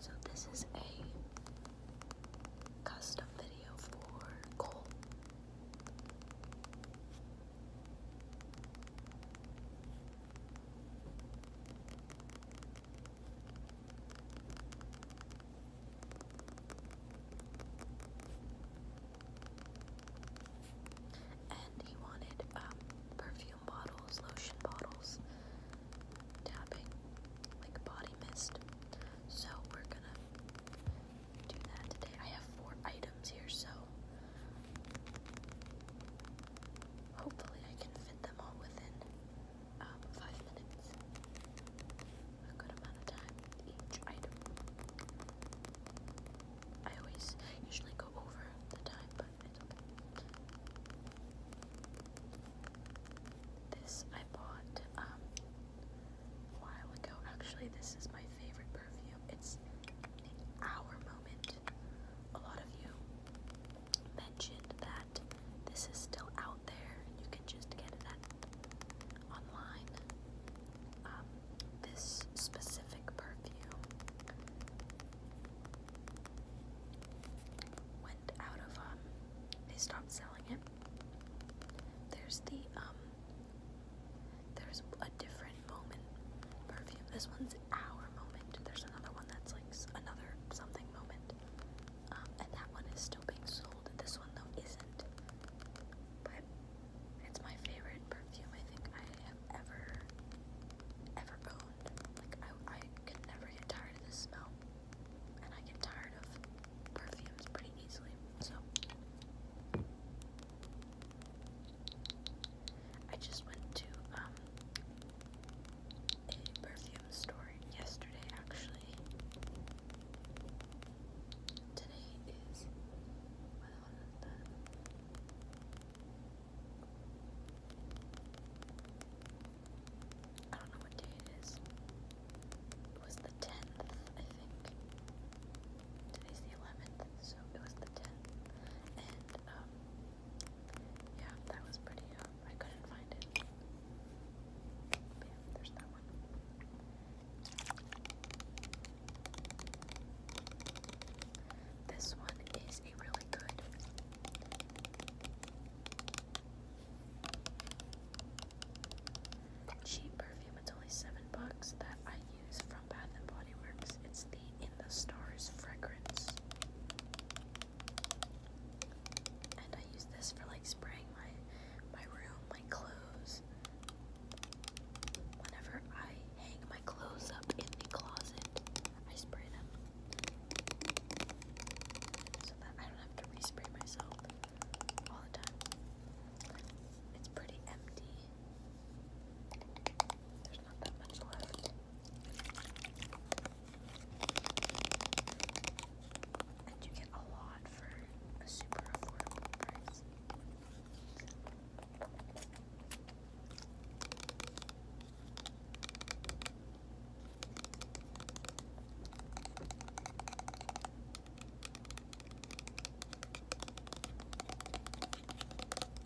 So this is a custom video for Cole. And he wanted um, perfume bottles, lotion bottles, tapping, like body mist. So we're gonna do that today. I have four items here, so hopefully I can fit them all within um, five minutes. A good amount of time each item. I always usually go over the time, but This I bought um, a while ago. Actually, this is my favorite perfume. It's our moment. A lot of you mentioned that this is still out there. You can just get it at online. Um, this specific perfume went out of um. They stopped selling it. There's the um. There's a different moment perfume. This one's our moment. There's another one that's like. Netflix, another something moment. Um, and that one is still being sold. This one though isn't. But it's my favorite perfume I think I have ever, ever owned. Like I, I can never get tired of this smell, and I get tired of perfumes pretty easily. So I just went to um a perfume store yesterday, actually. Today is. I don't know what day it is. It was the 10th, I think. Today's the 11th, so it was the 10th. And, um, yeah, that was pretty up. Uh, I couldn't find it. But yeah, there's that one. This one is a really good cheap perfume. It's only seven bucks that I use from Bath and Body Works. It's the In the Stars fragrance. And I use this for like spraying my my room, my clothes. Whenever I hang my clothes up in the closet, I spray them. So that I don't have to respray myself all the time. It's pretty empty there's not that much left. And you get a lot for a super affordable price.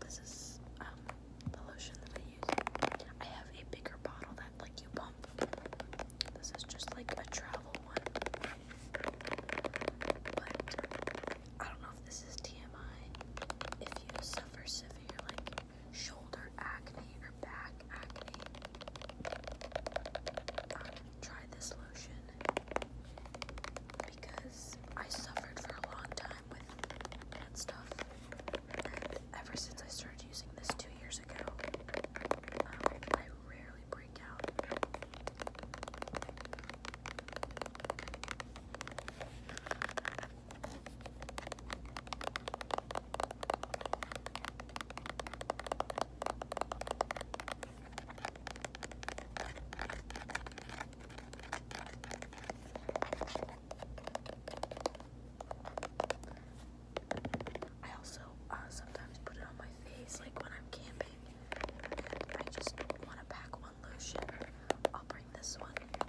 This is um, the lotion that I use. I have a bigger bottle like you bump. This is just like a travel one. But I don't know if this is TMI. If you suffer severe like shoulder acne or back acne, um, try this lotion because I suffered for a long time with that stuff. And ever since I started using this two years years ago. Um, I rarely break out. I also uh, sometimes put it on my face, like when I'm camping. I just want to pack one lotion. I'll bring this one, it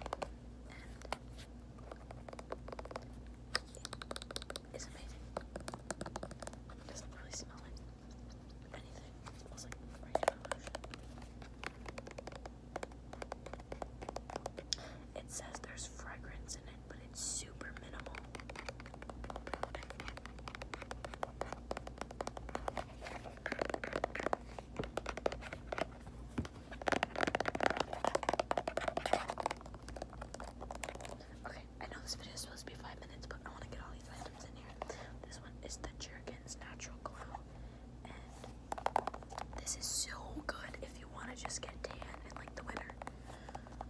is amazing. doesn't really smell like anything. smells like regular lotion. It says there's fragrance in it, but it's super minimal. Okay, I know this video is supposed to be five minutes, but I want to get all these items in here. This one is the Jergens Natural Glow this is so good if you want to just get tan in like the winter.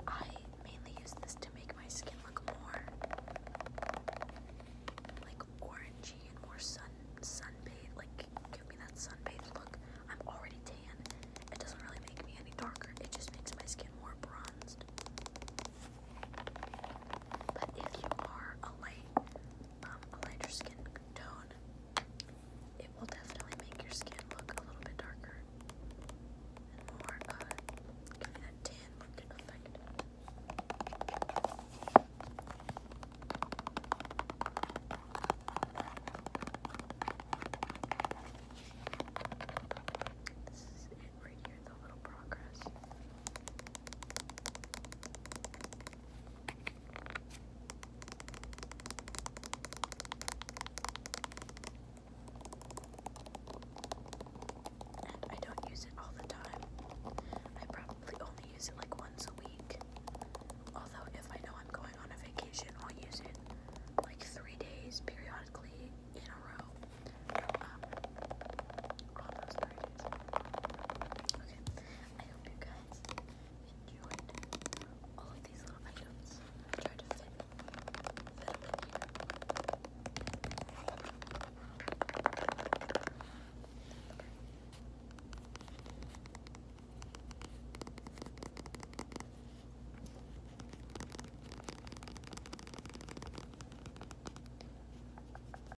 I mainly use this to make my skin look more like orangey and more sun sunbathed, like give me that sunbathed look. I'm already tan. It doesn't really make me any darker. It just makes my skin more bronzed. But if you are a light, um, a lighter skin tone, it will definitely make your skin look a little bit darker and more uh, that tan look effect. This is it right here, the little progress. I don't use it all the time. I probably only use it like once a week. Although, if I know I'm going on a vacation, I'll use it like three days periodically in a row. Um, those three days. Okay. I hope you guys enjoyed all of these little items. I tried to fit them in here.